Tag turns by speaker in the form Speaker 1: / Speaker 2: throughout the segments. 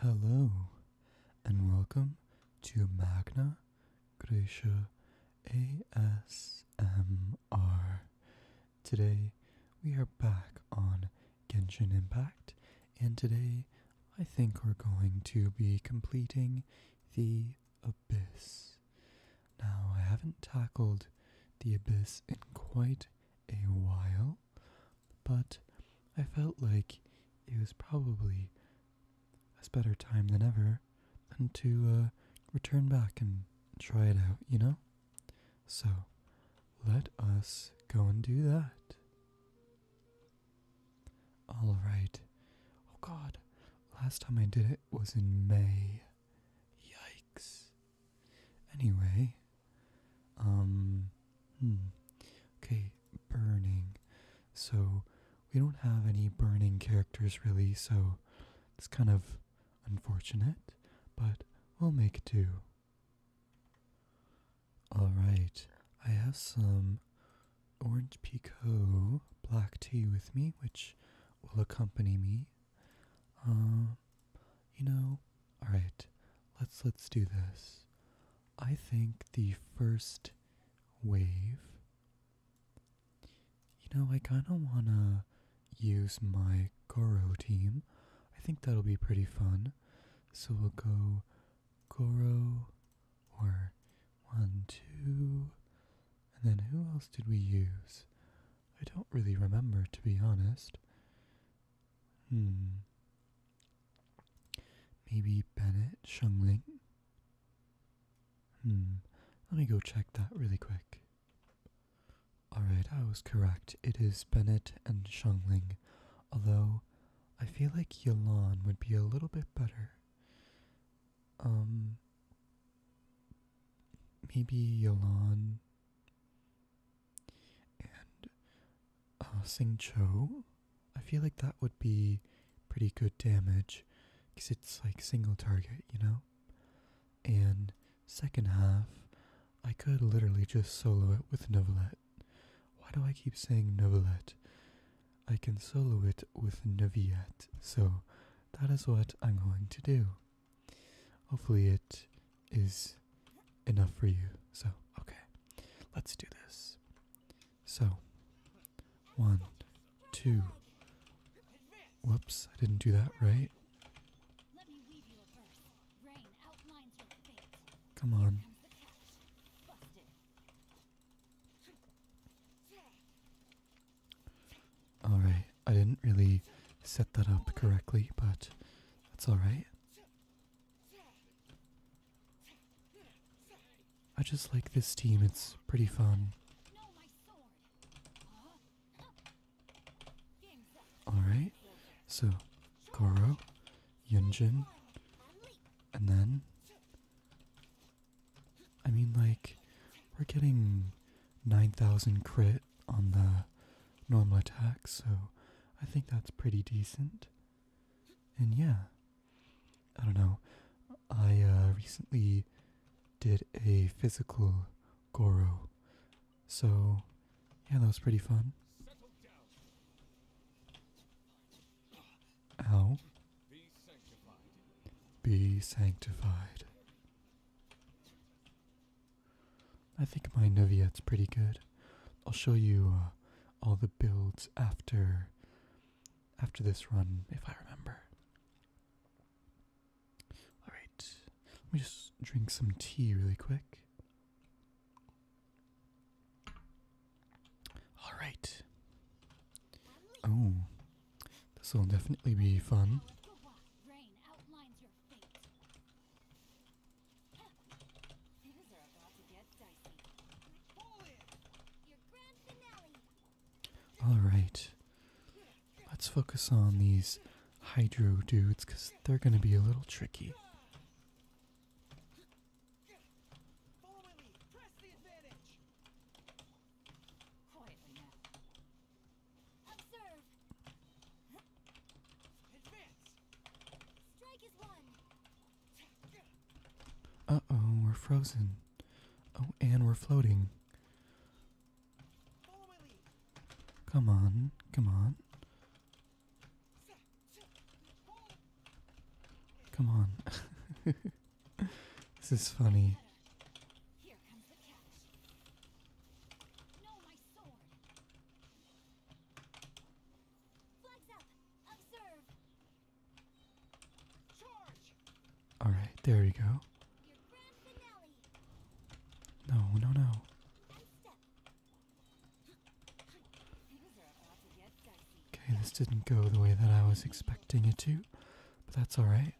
Speaker 1: Hello, and welcome to Magna Gracia ASMR. Today, we are back on Genshin Impact, and today, I think we're going to be completing the Abyss. Now, I haven't tackled the Abyss in quite a while, but I felt like it was probably a better time than ever than to uh, return back and try it out, you know? So let us go and do that. Alright. Oh god, last time I did it was in May. Yikes. Anyway, um, hmm, Okay, burning. So we don't have any burning characters really, so it's kind of unfortunate, but we'll make do. Alright, I have some orange picot black tea with me, which will accompany me. Uh, you know, all right, let's let's do this. I think the first wave. You know, I kind of wanna use my Goro team. I think that'll be pretty fun. So we'll go Goro or one, two. And then who else did we use? I don't really remember, to be honest. Hmm. Maybe Bennett Shengling? Hmm. Let me go check that really quick. Alright, I was correct. It is Bennett and Shengling. Although, I feel like Yolan would be a little bit better. Um. Maybe Yolan. And uh, Singcho, I feel like that would be pretty good damage because it's like single target, you know? And second half, I could literally just solo it with Novelette. Why do I keep saying Novelette? I can solo it with Noviette, so that is what I'm going to do. Hopefully, it is enough for you. So, okay, let's do this. So, one, two. Whoops, I didn't do that right. Come on. Alright, I didn't really set that up correctly, but that's alright. I just like this team, it's pretty fun. Alright, so Goro, Yunjin, and then. I mean, like, we're getting 9,000 crit on the normal attack, so I think that's pretty decent. And yeah, I don't know. I uh, recently did a physical Goro. So, yeah, that was pretty fun. Ow. Be sanctified. Be sanctified. I think my Noviette's pretty good. I'll show you uh, all the builds after after this run, if I remember. All right, let me just drink some tea really quick. All right. Oh, this will definitely be fun. All right. Let's focus on these hydro dudes cuz they're going to be a little tricky. Uh oh, we're frozen. Oh, and we're floating. Come on, come on. Come on. this is funny. All right, there you go. No, no, no. Okay, this didn't go the way that I was expecting it to, but that's all right.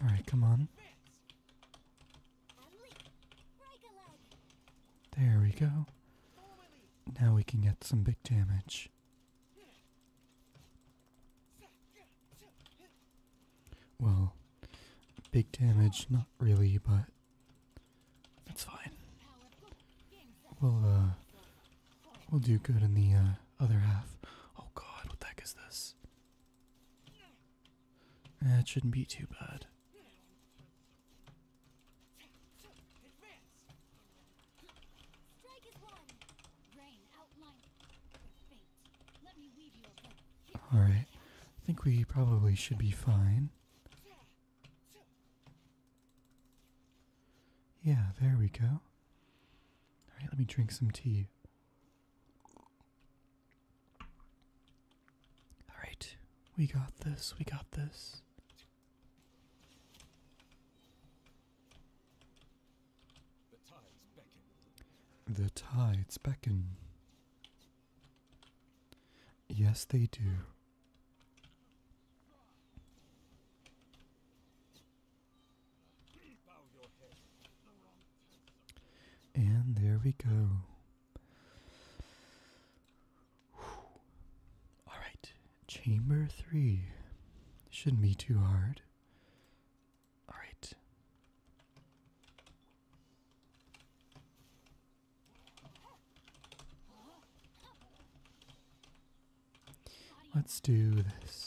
Speaker 1: All right, come on. There we go. Now we can get some big damage. Well, big damage, not really, but that's fine. We'll, uh, we'll do good in the, uh, other half. Oh god, what the heck is this? That eh, shouldn't be too bad. Alright, I think we probably should be fine. Yeah, there we go. Alright, let me drink some tea. Alright, we got this, we got this. The tides beckon. The Yes, they do. And there we go. All right, chamber three. Shouldn't be too hard. All right. Let's do this.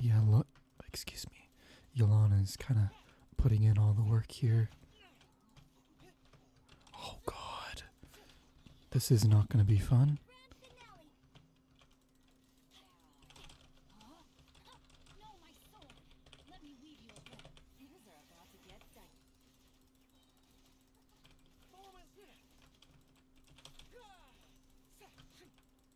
Speaker 1: Yeah, look. excuse me, Yolana is kind of putting in all the work here. Oh God, this is not going to be fun.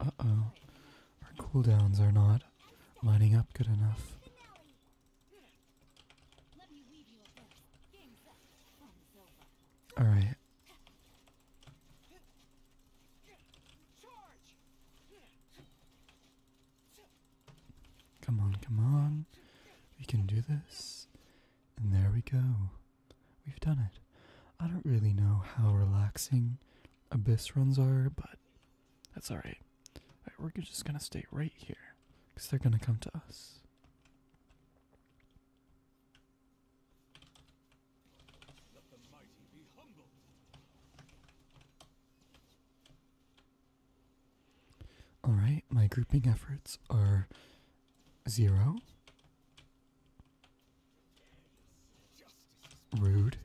Speaker 1: Uh oh. Our cooldowns are not lining up good enough. Alright. Come on, come on. We can do this. And there we go. We've done it. I don't really know how relaxing abyss runs are, but that's alright. we're just gonna stay right here, because they're gonna come to us. All right, my grouping efforts are zero, Rude.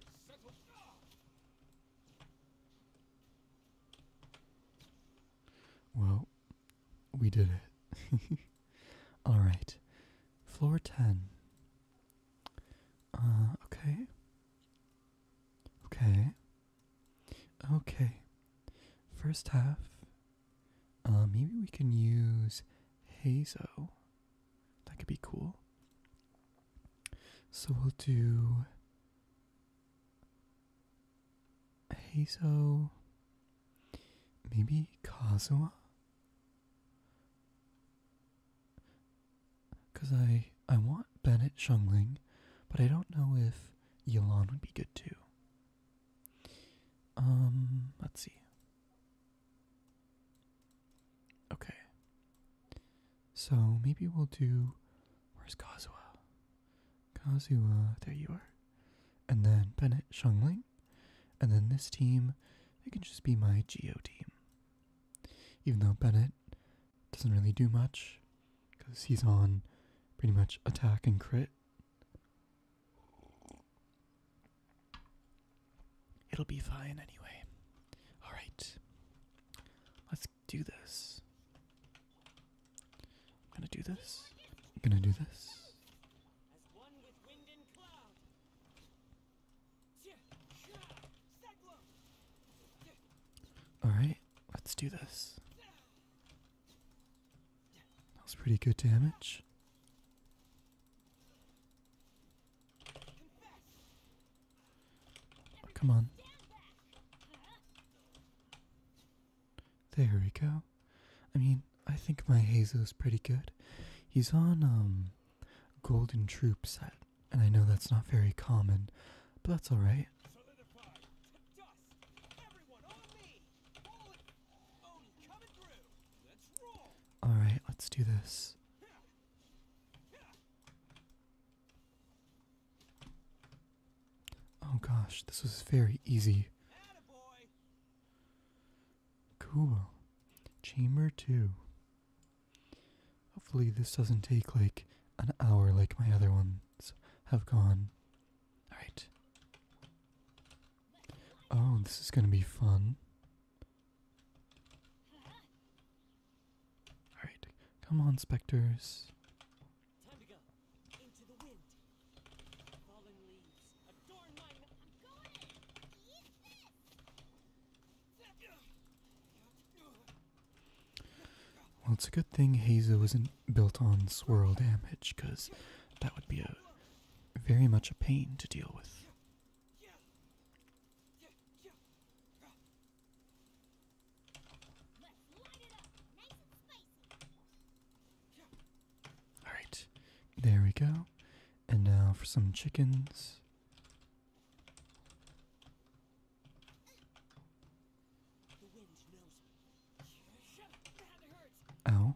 Speaker 1: Well, we did it. Alright. Floor 10. Uh, okay. Okay. Okay. First half uh, maybe we can use Hazo. That could be cool. So we'll do Hazo. Maybe Kazuma? Because I, I want Bennett Shungling, but I don't know if Yolan would be good too. Um, let's see. Okay. So maybe we'll do. Where's Kazuha? Kazuha, there you are. And then Bennett Shungling. And then this team, it can just be my Geo team. Even though Bennett doesn't really do much, because he's on pretty much attack and crit. It'll be fine anyway. Alright. Let's do this. I'm gonna do this. I'm gonna do this. Alright, let's do this. That was pretty good damage. Come on. There we go. I mean, I think my Hazo's pretty good. He's on um Golden Troop and I know that's not very common, but that's alright. Alright, let's do this. Oh gosh, this was very easy. Cool. Chamber 2. Hopefully this doesn't take like an hour like my other ones have gone. Alright. Oh, this is gonna be fun. Alright, come on, specters. Well, it's a good thing Hazel isn't built on swirl damage, because that would be a very much a pain to deal with. Alright, there we go. And now for some chickens. Ow.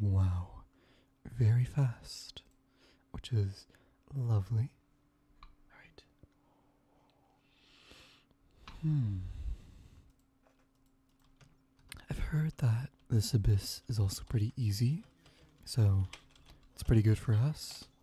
Speaker 1: Wow, very fast, which is lovely. All right. Hmm. I've heard that this abyss is also pretty easy, so it's pretty good for us.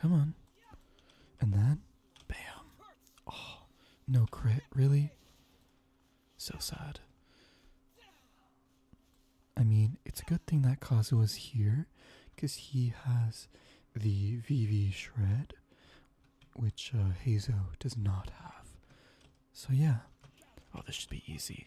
Speaker 1: Come on. And then, bam. Oh, no crit, really? So sad. I mean, it's a good thing that Kazu was here, because he has the VV Shred, which uh, Hazo does not have. So yeah. Oh, this should be easy.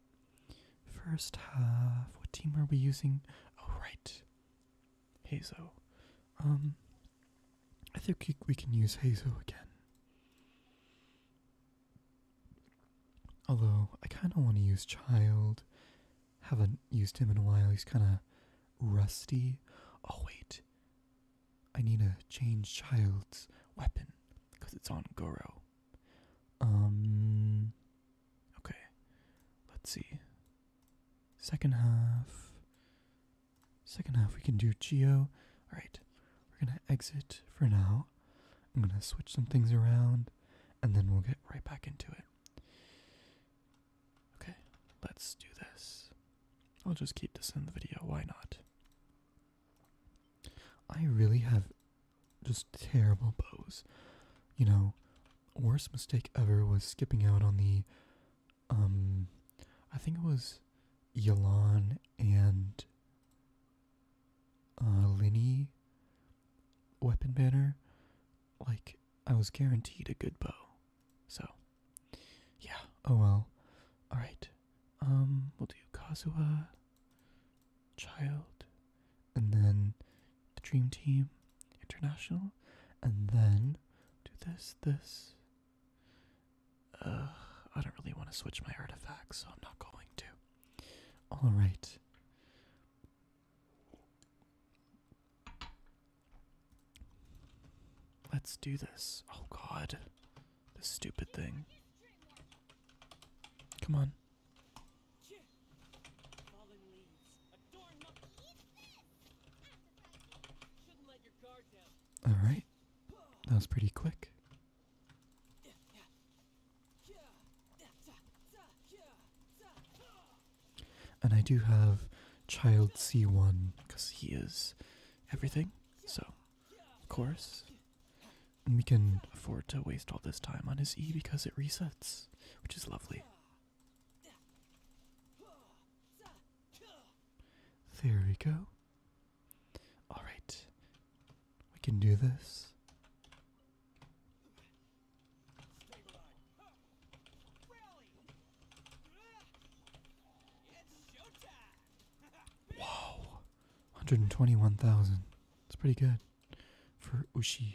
Speaker 1: First half. What team are we using? Oh, right. Hazo. Um, I think we can use Hazo again. Although, I kind of want to use Child. Haven't used him in a while. He's kind of rusty. Oh, wait. I need to change Child's weapon because it's on Goro. Um, Okay, let's see. Second half. Second half, we can do Geo. Alright, we're gonna exit for now. I'm gonna switch some things around and then we'll get right back into it. Okay, let's do this. I'll just keep this in the video, why not? I really have just terrible bows. You know, worst mistake ever was skipping out on the, um, I think it was Yolan and uh, Linny weapon banner. Like, I was guaranteed a good bow. So, yeah, oh well. Alright, um, we'll do Kazuha. Child, and then the Dream Team International, and then do this, this. I don't really want to switch my artifacts, so I'm not going to. Alright. Let's do this. Oh god. This stupid thing. Come on. All right. That was pretty quick. And I do have child C1 because he is everything. So, of course, we can afford to waste all this time on his E because it resets which is lovely. There we go. All right. We can do this. Wow. 121,000. It's pretty good for Ushi.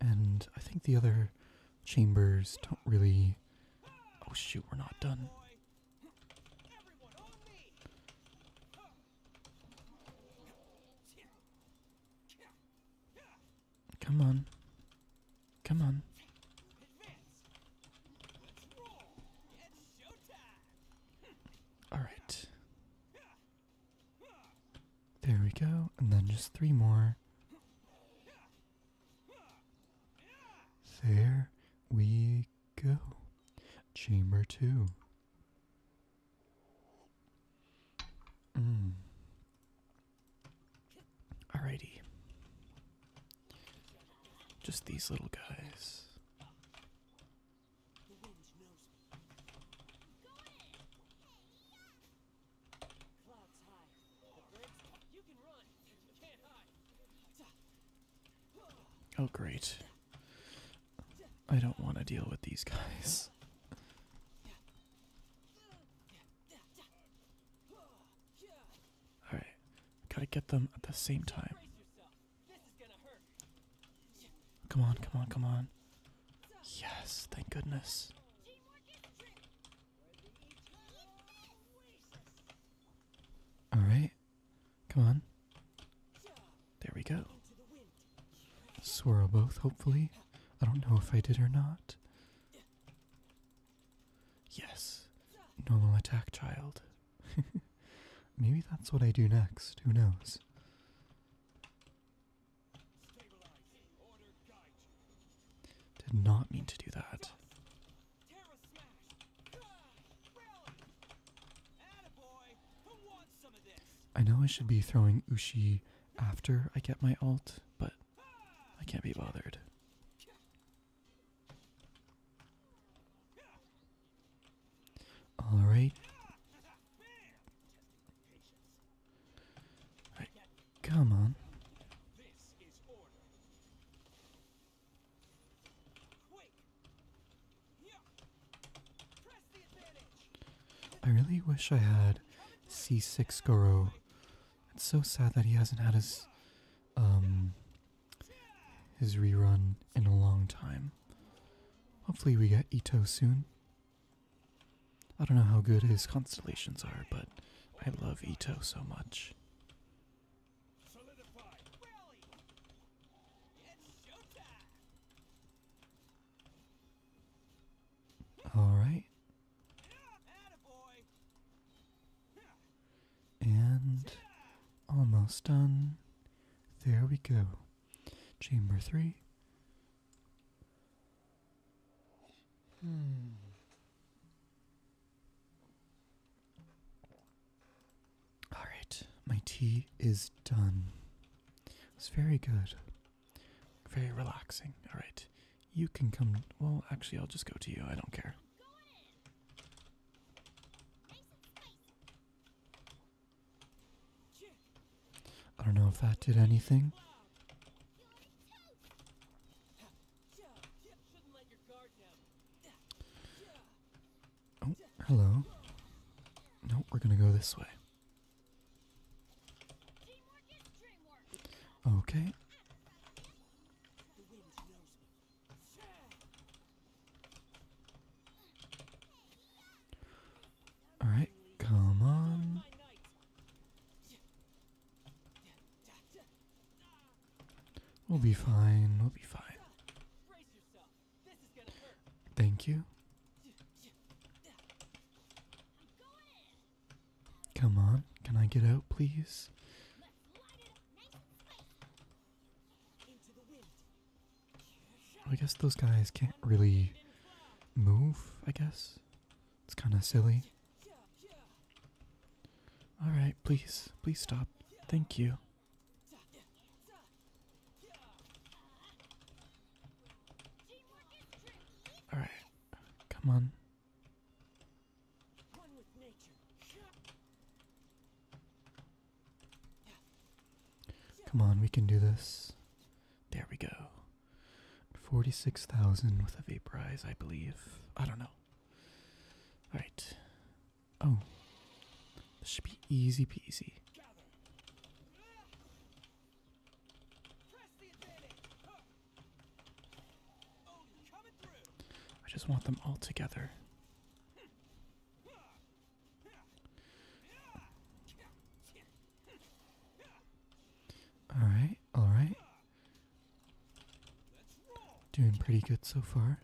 Speaker 1: And I think the other chambers don't really. Oh shoot, we're not done. Come on. Come on. Alright. There we go. And then just three more. There we go. Chamber two. Mm. Alrighty. Just these little guys. Oh, great. I don't want to deal with these guys. Alright, gotta get them at the same time. Come on, come on, come on. Yes, thank goodness. All right. Come on. There we go. Swirl both, hopefully. I don't know if I did or not. Yes. Normal attack, child. Maybe that's what I do next. Who knows? Did not mean to do that. I know I should be throwing Ushi after I get my alt, but I can't be bothered. Alright come on. I really wish I had C6 Goro. It's so sad that he hasn't had his um his rerun in a long time. Hopefully we get Ito soon. I don't know how good his constellations are, but I love Ito so much. Alright. And almost done. There we go. Chamber 3. Hmm. All right, my tea is done. It's very good. Very relaxing. All right. You can come. Well, actually, I'll just go to you. I don't care. I don't know if that did anything. Oh, hello. No, we're gonna go this way. Okay. Alright, come on. We'll be fine, we'll be fine. Thank you. Come on, can I get out, please? I guess those guys can't really move, I guess. It's kind of silly. Alright, please, please stop. Thank you. Alright, come on. Come on, we can do this. There we go. Forty-six thousand with a vaporize, I believe. I don't know. All right. Oh, this should be easy peasy. I just want them all together. All right. Alright. Doing pretty good so far.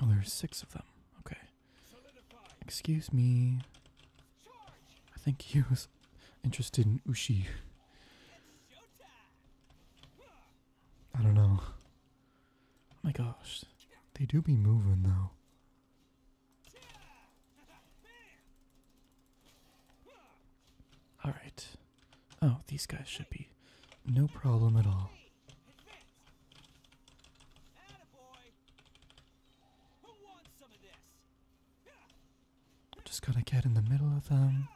Speaker 1: Oh, there's six of them. Okay. Excuse me. I think he was interested in Uchi. I don't know. Oh my gosh. They do be moving though. Alright. Oh, these guys should be no problem at all. just gonna get in the middle of them.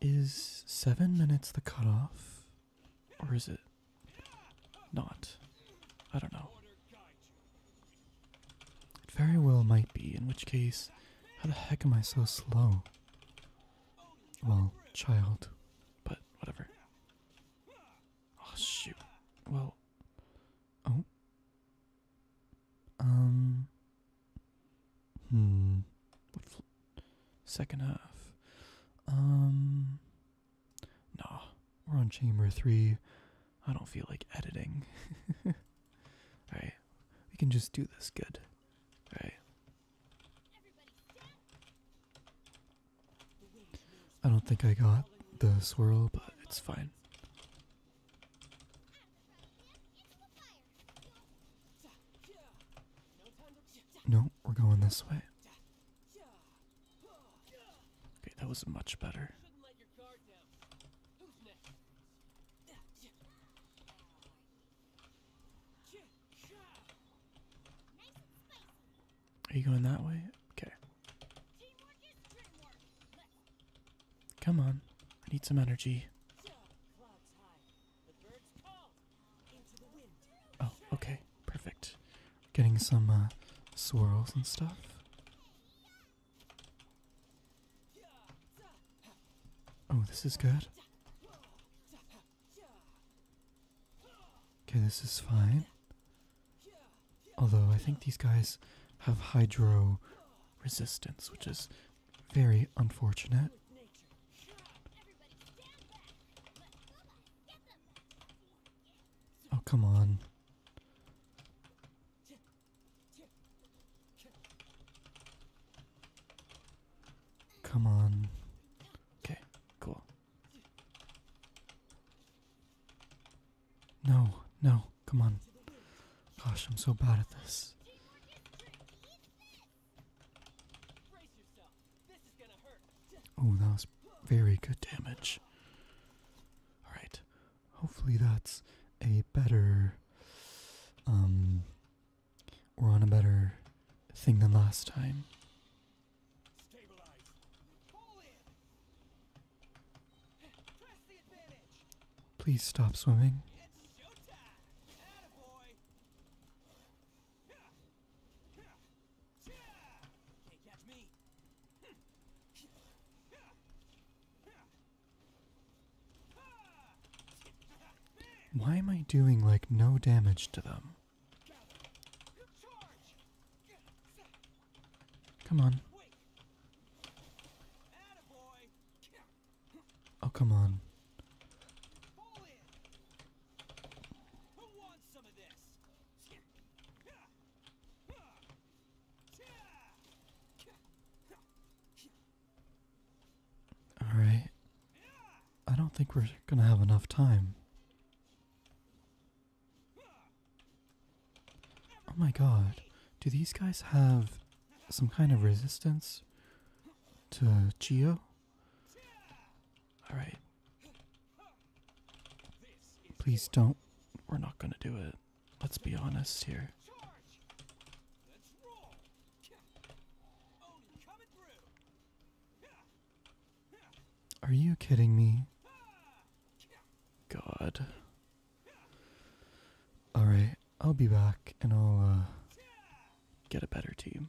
Speaker 1: Is seven minutes the cutoff? Or is it not? I don't know. It very well might be, in which case, how the heck am I so slow? Well, child, but whatever. Oh, shoot. Well, oh. Um, Hmm. second half? Um. Nah. We're on chamber three. I don't feel like editing. Alright. We can just do this good. Alright. I don't think I got the swirl, but it's fine. No, we're going this way. Okay, that was much better. Are you going that way? Okay. Come on. I need some energy. Oh, okay, perfect. Getting some uh, swirls and stuff. Oh, this is good. Okay, this is fine. Although I think these guys have hydro resistance, which is very unfortunate. Oh, come on. Come on. Okay, cool. No, no, come on. Gosh, I'm so bad at this. Oh, that was very good damage. Alright. Hopefully that's a better um we're on a better thing than last time. Please stop swimming. Why am I doing like no damage to them? Come on. Oh, come on. Alright. I don't think we're gonna have enough time. Oh my god. Do these guys have some kind of resistance to Geo? Alright. Please don't. We're not gonna do it. Let's be honest here. Are you kidding me? God. Alright, I'll be back and I'll uh, get a better team.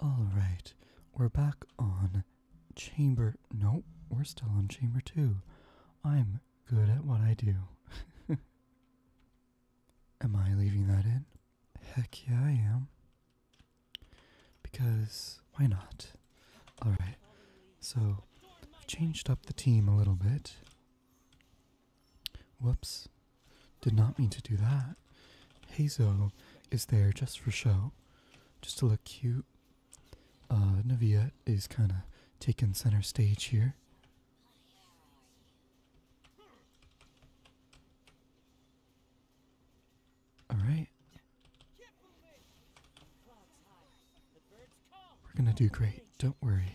Speaker 1: All right, we're back on chamber. Nope, we're still on chamber two. I'm good at what I do. am I leaving that in? Heck yeah, I am. Because why not? All right, so I've changed up the team a little bit. Whoops. Did not mean to do that. Hazo is there just for show, just to look cute. Uh, Navia is kind of taking center stage here. Alright. We're gonna do great, don't worry.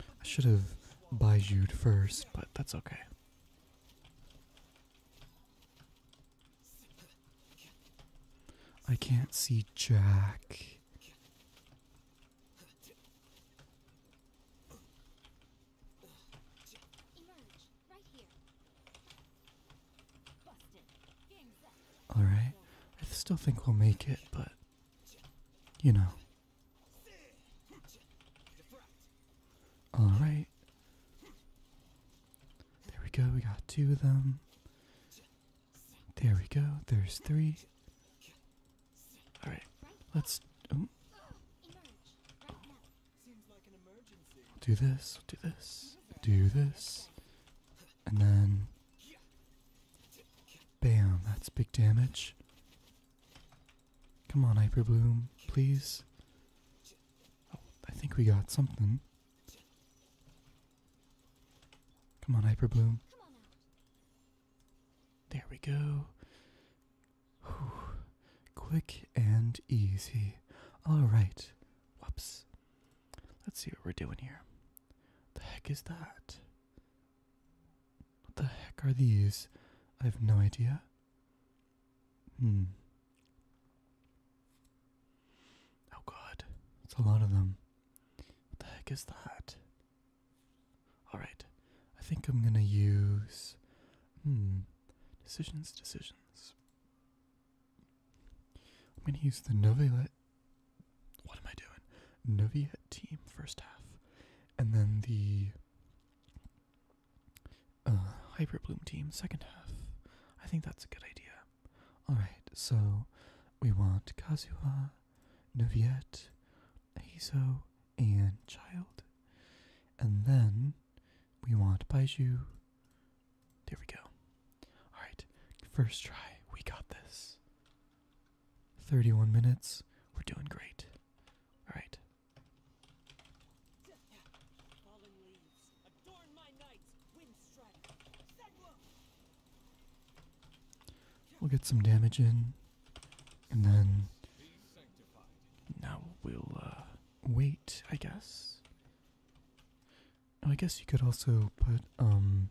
Speaker 1: I should have baiju first, but that's okay. I can't see Jack. Alright, I still think we'll make it, but you know. Alright. There we go, we got two of them. There we go, there's three. Alright, let's. Oh. Do this, do this, do this, and then Bam, that's big damage. Come on, Hyper Bloom, please. Oh, I think we got something. Come on, Hyper Bloom. There we go. Whew. Quick and easy. Alright. Whoops. Let's see what we're doing here. The heck is that? What the heck are these? I have no idea. Hmm. Oh god, it's a lot of them. What the heck is that? Alright, I think I'm gonna use. Hmm. Decisions, decisions. I'm gonna use the Novelet what am I doing? Novia team first half, and then the uh, Hyperbloom team second half. I think that's a good idea. All right, so we want Kazuha, Noviette, Hiso, and Child, and then we want Baiju. There we go. All right, first try. We got this. 31 minutes. We're doing great. All right. We'll get some damage in, and then now we'll uh, wait, I guess. I guess you could also put um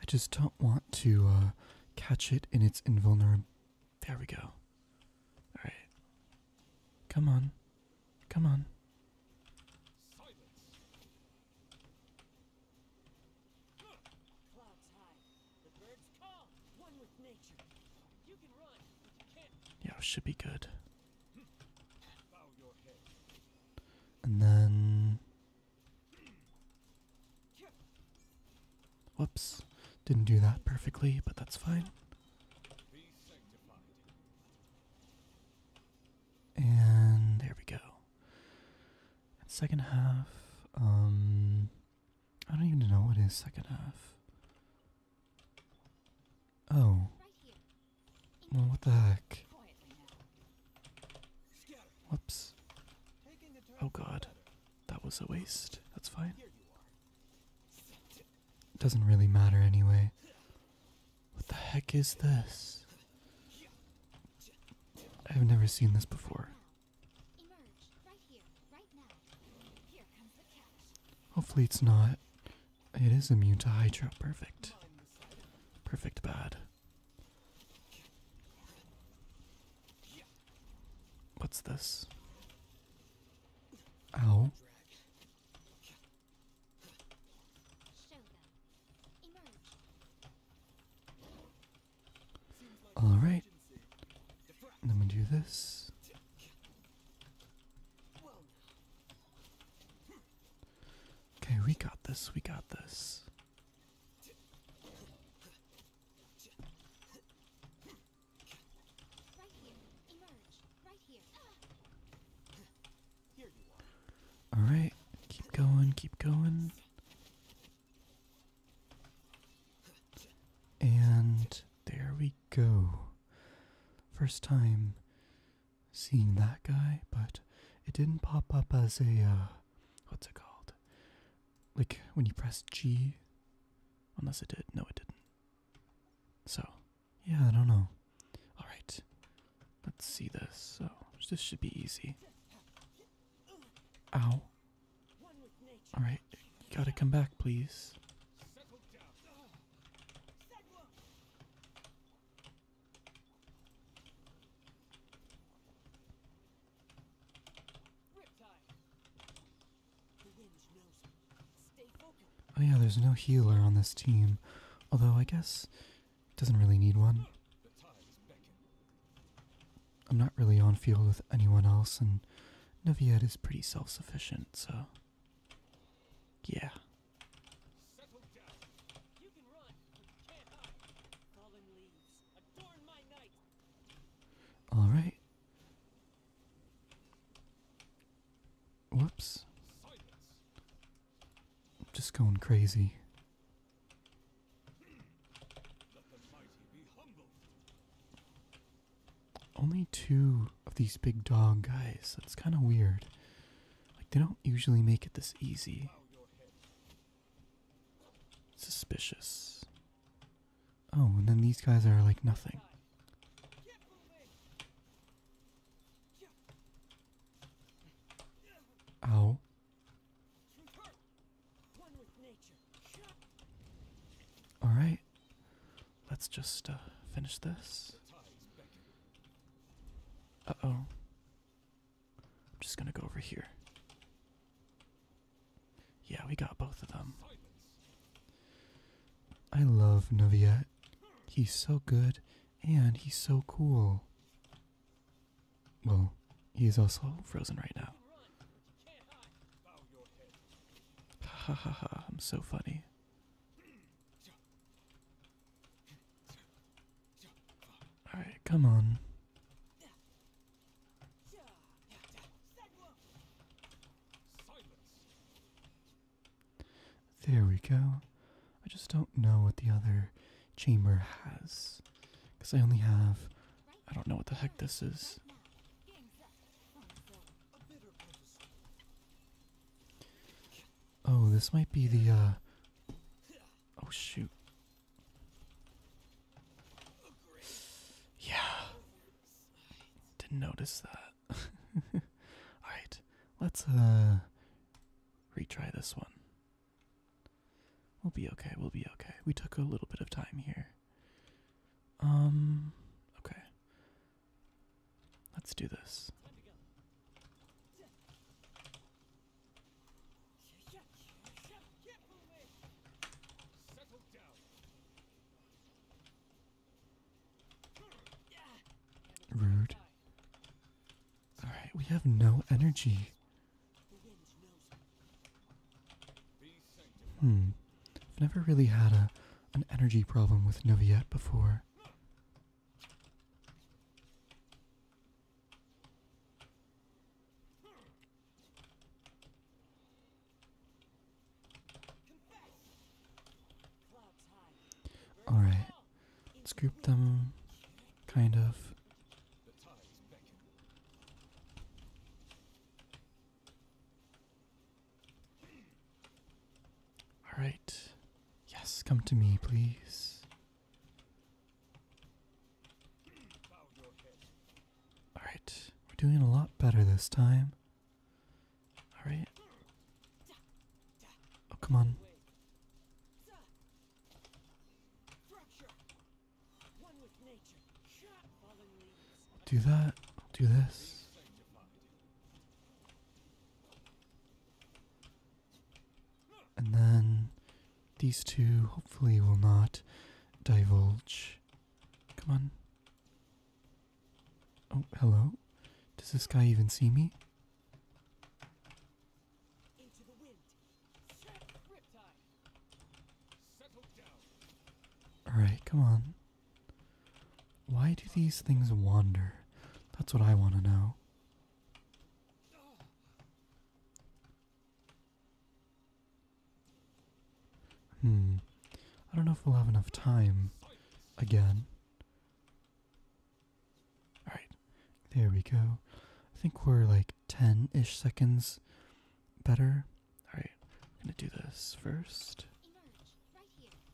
Speaker 1: I just don't want to uh, catch it in its invulnerable. There we go. All right. Come on. Come on. Yeah, should be good. And then. Whoops. Didn't do that perfectly, but that's fine. And there we go. second half, um, I don't even know what is second half. Oh. what the heck? Whoops. Oh god. That was a waste. That's fine. It doesn't really matter anyway. What the heck is this? I've never seen this before. Hopefully it's not it is immune to Hydro. Perfect. Perfect bad. What's this? Ow. Alright. Let me do this. Okay, we got this, we got this. Alright, keep going, keep going. And there we go. First time seeing that guy, but it didn't pop up as a, uh, what's it called? Like when you press G, unless it did. No, it didn't. So, yeah, I don't know. Alright, let's see this. So, this should be easy. Ow. Alright, gotta come back, please. Oh yeah, there's no healer on this team. Although I guess doesn't really need one. I'm not really on field with anyone else, and Noviet is pretty self-sufficient, so... Yeah. All right. Whoops. I'm just going crazy. Only two of these big dog guys. That's kind of weird. Like, they don't usually make it this easy. Suspicious. Oh, and then these guys are like nothing. Ow. Alright. Let's just uh, finish this. Uh oh. I'm just gonna go over here. Yeah, we got both of them. I love Noviet. He's so good and he's so cool. Well, he's also frozen right now. Ha ha ha, I'm so funny. All right, come on. There we go. I just don't know what the other chamber has. Because I only have. I don't know what the heck this is. Oh, this might be the, uh... Oh, shoot. Yeah. Didn't notice that. Alright, let's, uh... Retry this one. We'll be okay, we'll be okay. We took a little bit of time here. Um, okay. Let's do this. Rude. Alright, we have no energy. Hmm. I've never really had a an energy problem with Noviette before. All right, let's group them, kind of. All right. Yes, come to me, please. All right. We're doing a lot better this time. All right. Oh, come on. Do that. Do this. And then these two hopefully will not divulge. Come on. Oh, hello. Does this guy even see me? Alright, come on. Why do these things wander? That's what I want to know. Hmm. I don't know if we'll have enough time again. Alright. There we go. I think we're like 10 ish seconds better. Alright. I'm gonna do this first.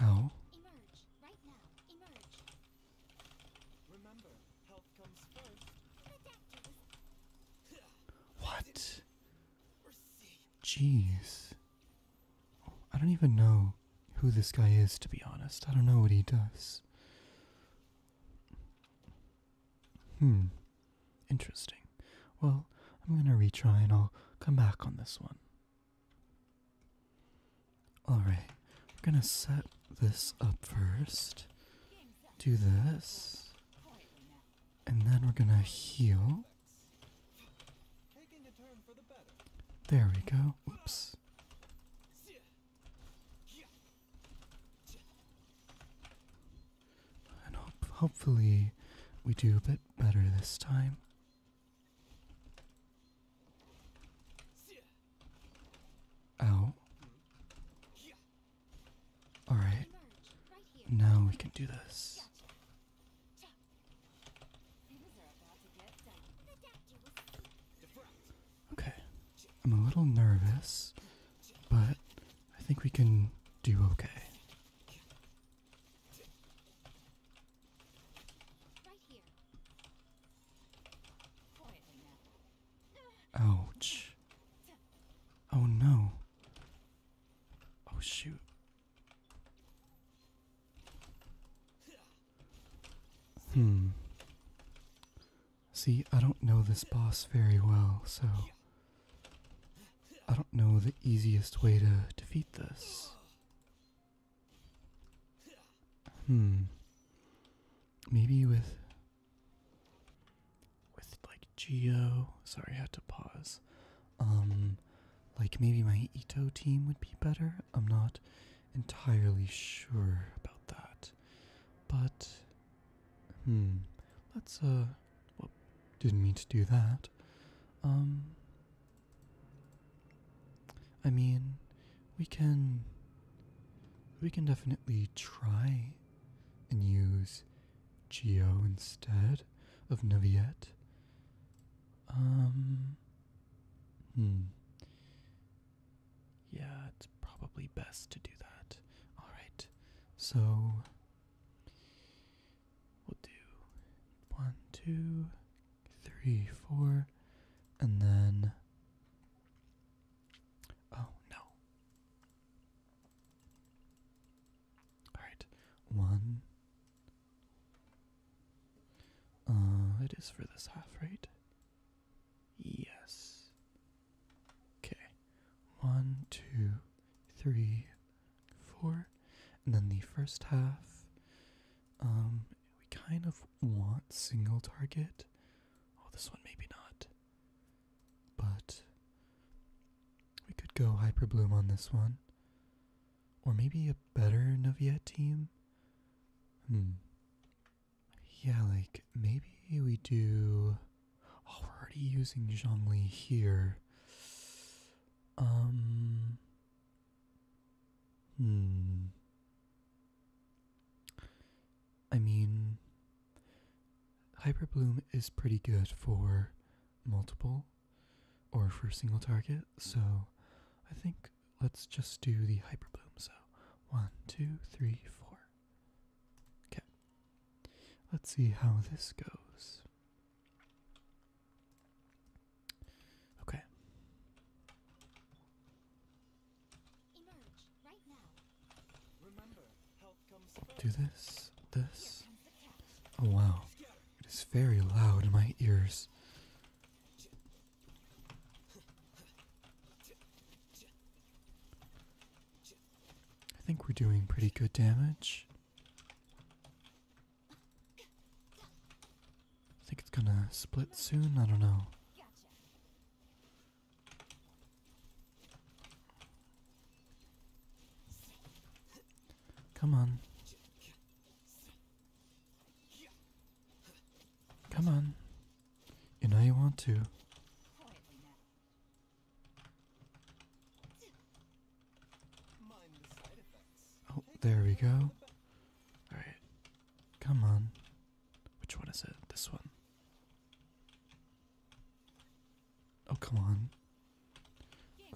Speaker 1: Oh. What? Jeez. I don't even know who this guy is, to be honest. I don't know what he does. Hmm. Interesting. Well, I'm gonna retry and I'll come back on this one. Alright, we're gonna set this up first. Do this. And then we're gonna heal. There we go. Oops. And hopefully we do a bit better this time. Ow. Oh. Alright. Now we can do this. Okay. I'm a little nervous, but I think we can do okay. Ouch. Oh no. Oh shoot. Hmm. See, I don't know this boss very well, so I don't know the easiest way to defeat this. Hmm. Maybe with with like Geo. Sorry, I had to pause. Um, like maybe my Ito team would be better. I'm not entirely sure about that, but hmm. Let's uh. Whoop, didn't mean to do that. Um. I mean, we can we can definitely try and use Geo instead of Noviet. Um hmm. Yeah, it's probably best to do that. All right. So we'll do one, two, three, four, and then Oh no. Alright, one. Uh, it is for this half, right? Yes. Okay. One, two, three, four. And then the first half. Um, we kind of want single target. Oh, this one maybe not. But we could go Hyper Bloom on this one. Or maybe a better Noviet team? Hmm. Yeah, like maybe we do. Oh, already using Zhongli here. Um, Hmm. I mean, Hyper Bloom is pretty good for multiple or for single target, so I think let's just do the Hyper Bloom. So, one, two, three, four. Okay. Let's see how this goes. Okay. Do this, this. Oh wow. It is very loud in my ears. I think we're doing pretty good damage. I think it's gonna split soon, I don't know. Come on. Come on. You know you want to. Oh, there we go. Alright. Come on. Which one is it? This one. Oh, come on.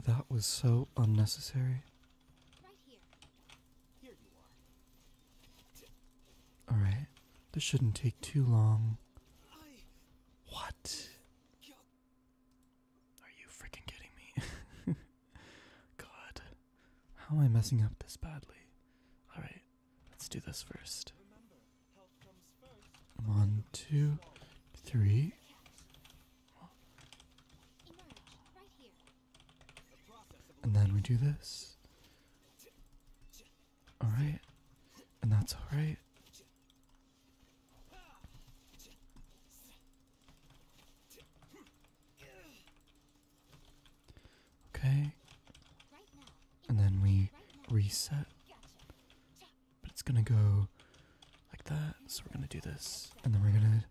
Speaker 1: That was so unnecessary. Alright, this shouldn't take too long. What? Are you freaking kidding me? God. How am I messing up this badly? Alright, let's do this first. One, two, three. And then we do this. Alright. And that's alright. Okay. And then we reset. But it's gonna go like that. So we're gonna do this. And then we're gonna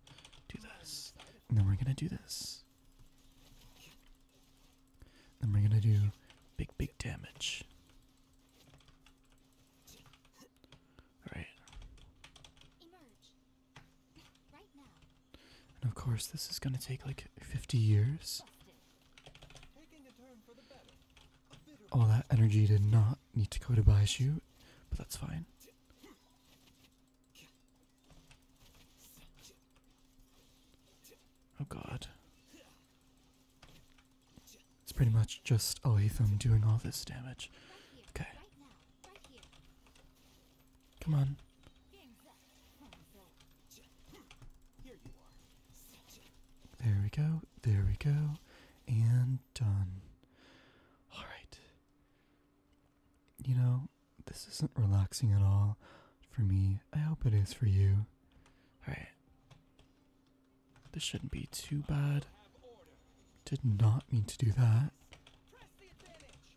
Speaker 1: do this. And then we're gonna do this. Then we're gonna do big, big damage. Alright. And of course, this is going to take like 50 years. All that energy did not need to go to Baishu, but that's fine. Oh god. It's pretty much just Aletham doing all this damage. Okay. Come on. There we go. There we go. And done. All right. You know, this isn't relaxing at all for me. I hope it is for you. All right. This shouldn't be too bad. Did not mean to do that.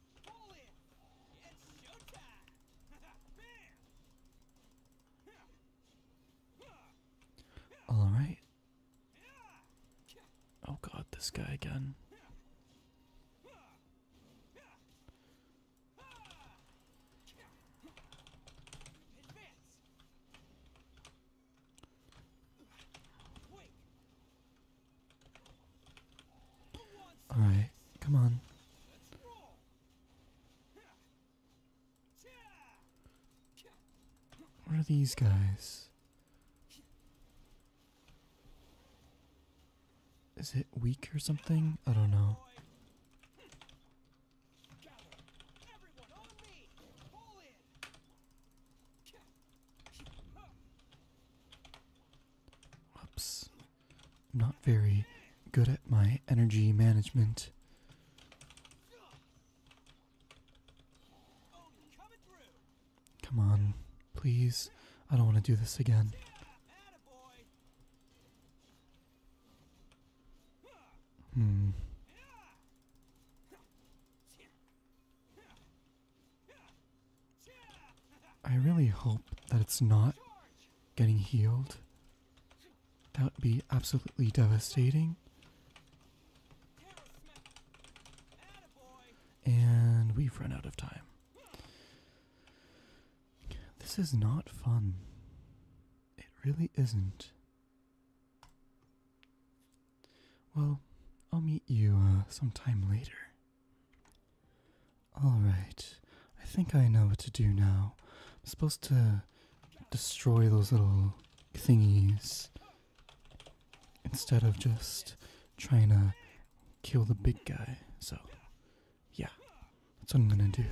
Speaker 1: Alright. Oh god, this guy again. Alright, come on. What are these guys? Is it weak or something? I don't know. Whoops, I'm not very good at my energy management. Come on, please. I don't want to do this again. Hmm. I really hope that it's not getting healed. That would be absolutely devastating. And we've run out of time. This is not fun. It really isn't. Well, I'll meet you uh, sometime later. Alright, I think I know what to do now. I'm supposed to destroy those little thingies instead of just trying to kill the big guy. So, yeah, that's what I'm gonna do.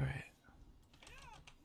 Speaker 1: Alright.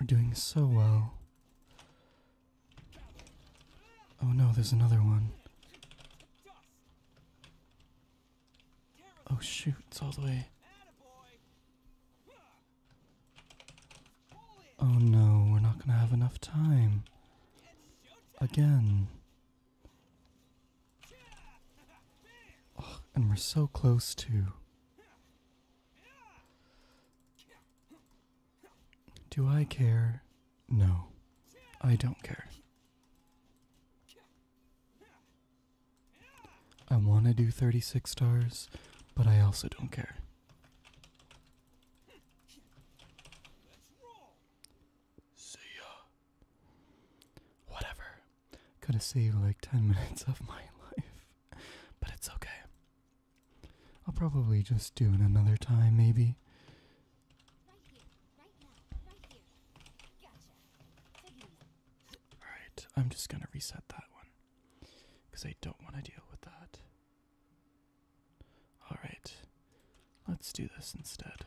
Speaker 1: We're doing so well. Oh no, there's another one. Oh shoot, it's all the way. Oh no, we're not gonna have enough time. Again. and we're so close to. Do I care? No, I don't care. I want to do 36 stars, but I also don't care. See ya. Whatever. Could have saved like 10 minutes of my life, but it's okay. I'll probably just do it another time, maybe. Alright, I'm just gonna reset that one. Because I don't want to deal with that. Alright, let's do this instead.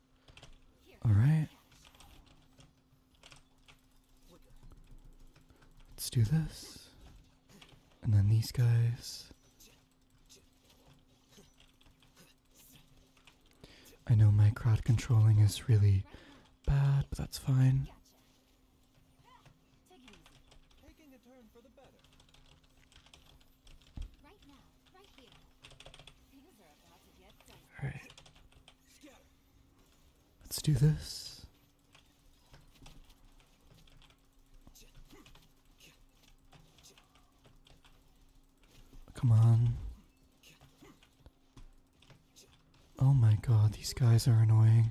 Speaker 1: All right. Let's do this. And then these guys. I know my crowd controlling is really bad, but that's fine. All right. Let's do this. Come on. Oh my god, these guys are annoying.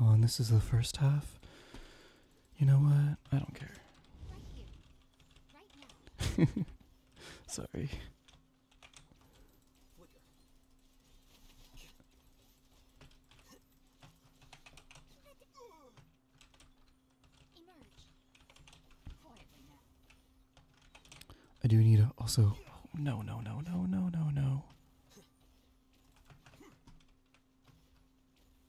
Speaker 1: Oh, and this is the first half? You know what? I don't care. Sorry. I do need also. no, no, no, no, no, no, no.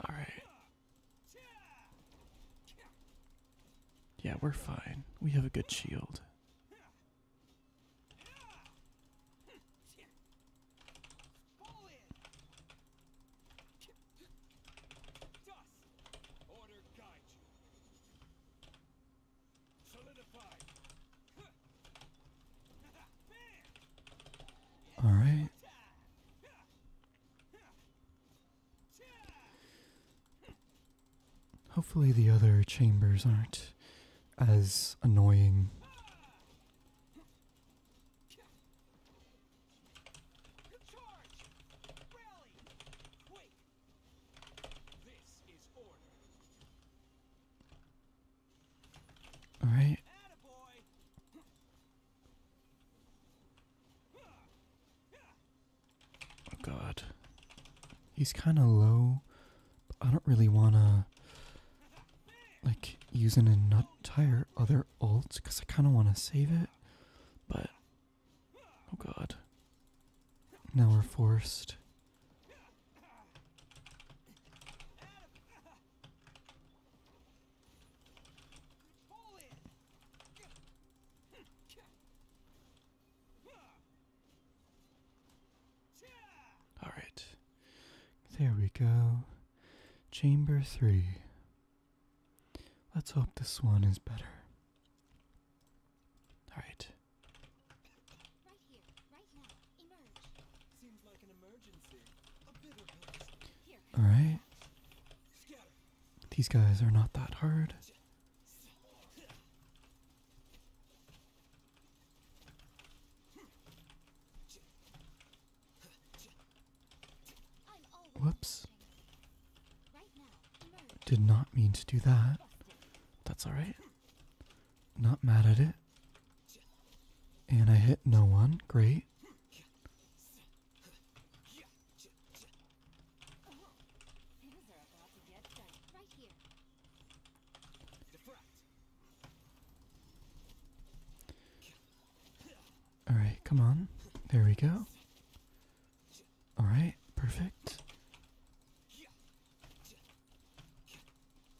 Speaker 1: All right. Yeah, we're fine. We have a good shield. All right. Hopefully the other chambers aren't as annoying. All right. Oh god. He's kind of low. But I don't really want to like use an entire other alt cuz I kind of want to save it, but oh god. Now we're forced all right. There we go. Chamber 3. Let's hope this one is better. All right. Alright. These guys are not that hard. Whoops. Did not mean to do that. That's alright. Not mad at it. And I hit no one. Great. All right, come on. There we go. All right, perfect.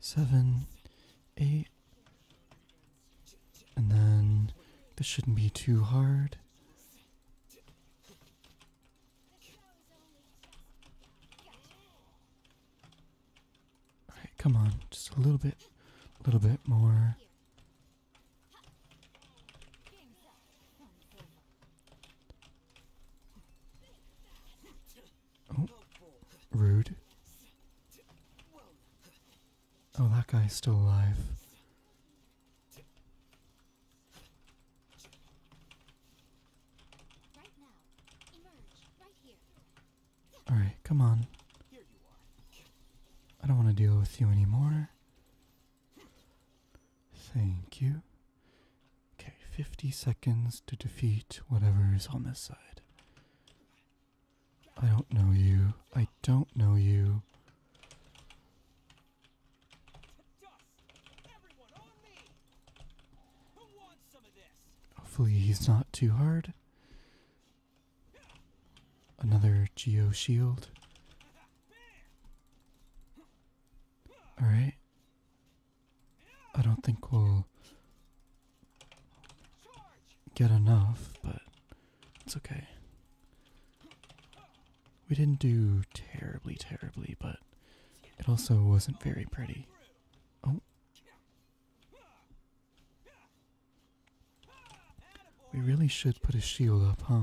Speaker 1: seven, eight, and then this shouldn't be too hard. Alright, come on, just a little bit, a little bit more. Oh, rude. Oh, that guy's still alive. Alright, come on. I don't want to deal with you anymore. Thank you. Okay, 50 seconds to defeat whatever is on this side. I don't know you. I don't know you. Hopefully he's not too hard. Another geo shield. Alright. I don't think we'll get enough, but it's okay. We didn't do terribly, terribly, but it also wasn't very pretty. Oh. We really should put a shield up, huh?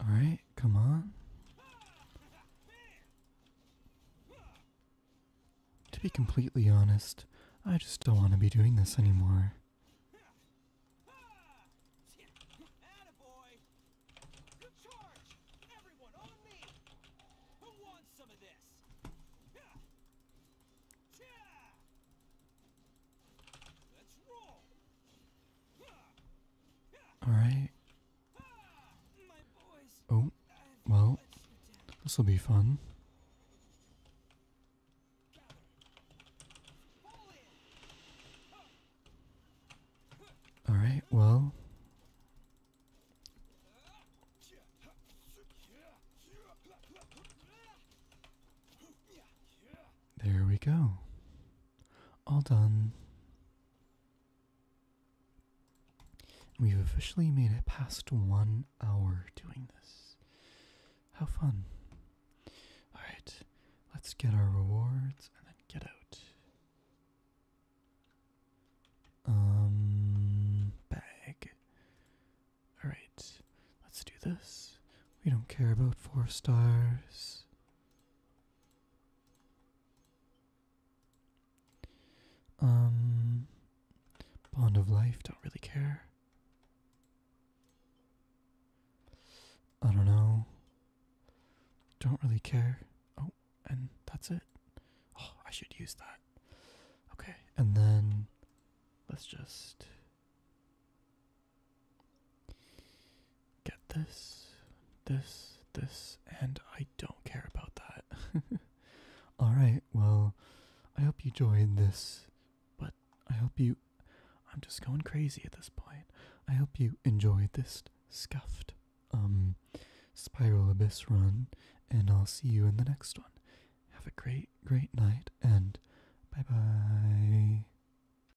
Speaker 1: Alright, come on. To be completely honest, I just don't want to be doing this anymore. All right. Oh, well, this will be fun. All right, well. There we go. All done. We've officially made it past one hour doing this. How fun. Alright, let's get our rewards and then get out. Um, bag. Alright, let's do this. We don't care about four stars. Um, Bond of Life, don't really care. I don't know. Don't really care. Oh, and that's it. Oh, I should use that. Okay, and then let's just Get this, this, this, and I don't care about that. Alright, well, I hope you enjoyed this, but I hope you. I'm just going crazy at this point. I hope you enjoyed this scuffed, um, Spiral Abyss run, and I'll see you in the next one. Have a great, great night, and bye bye.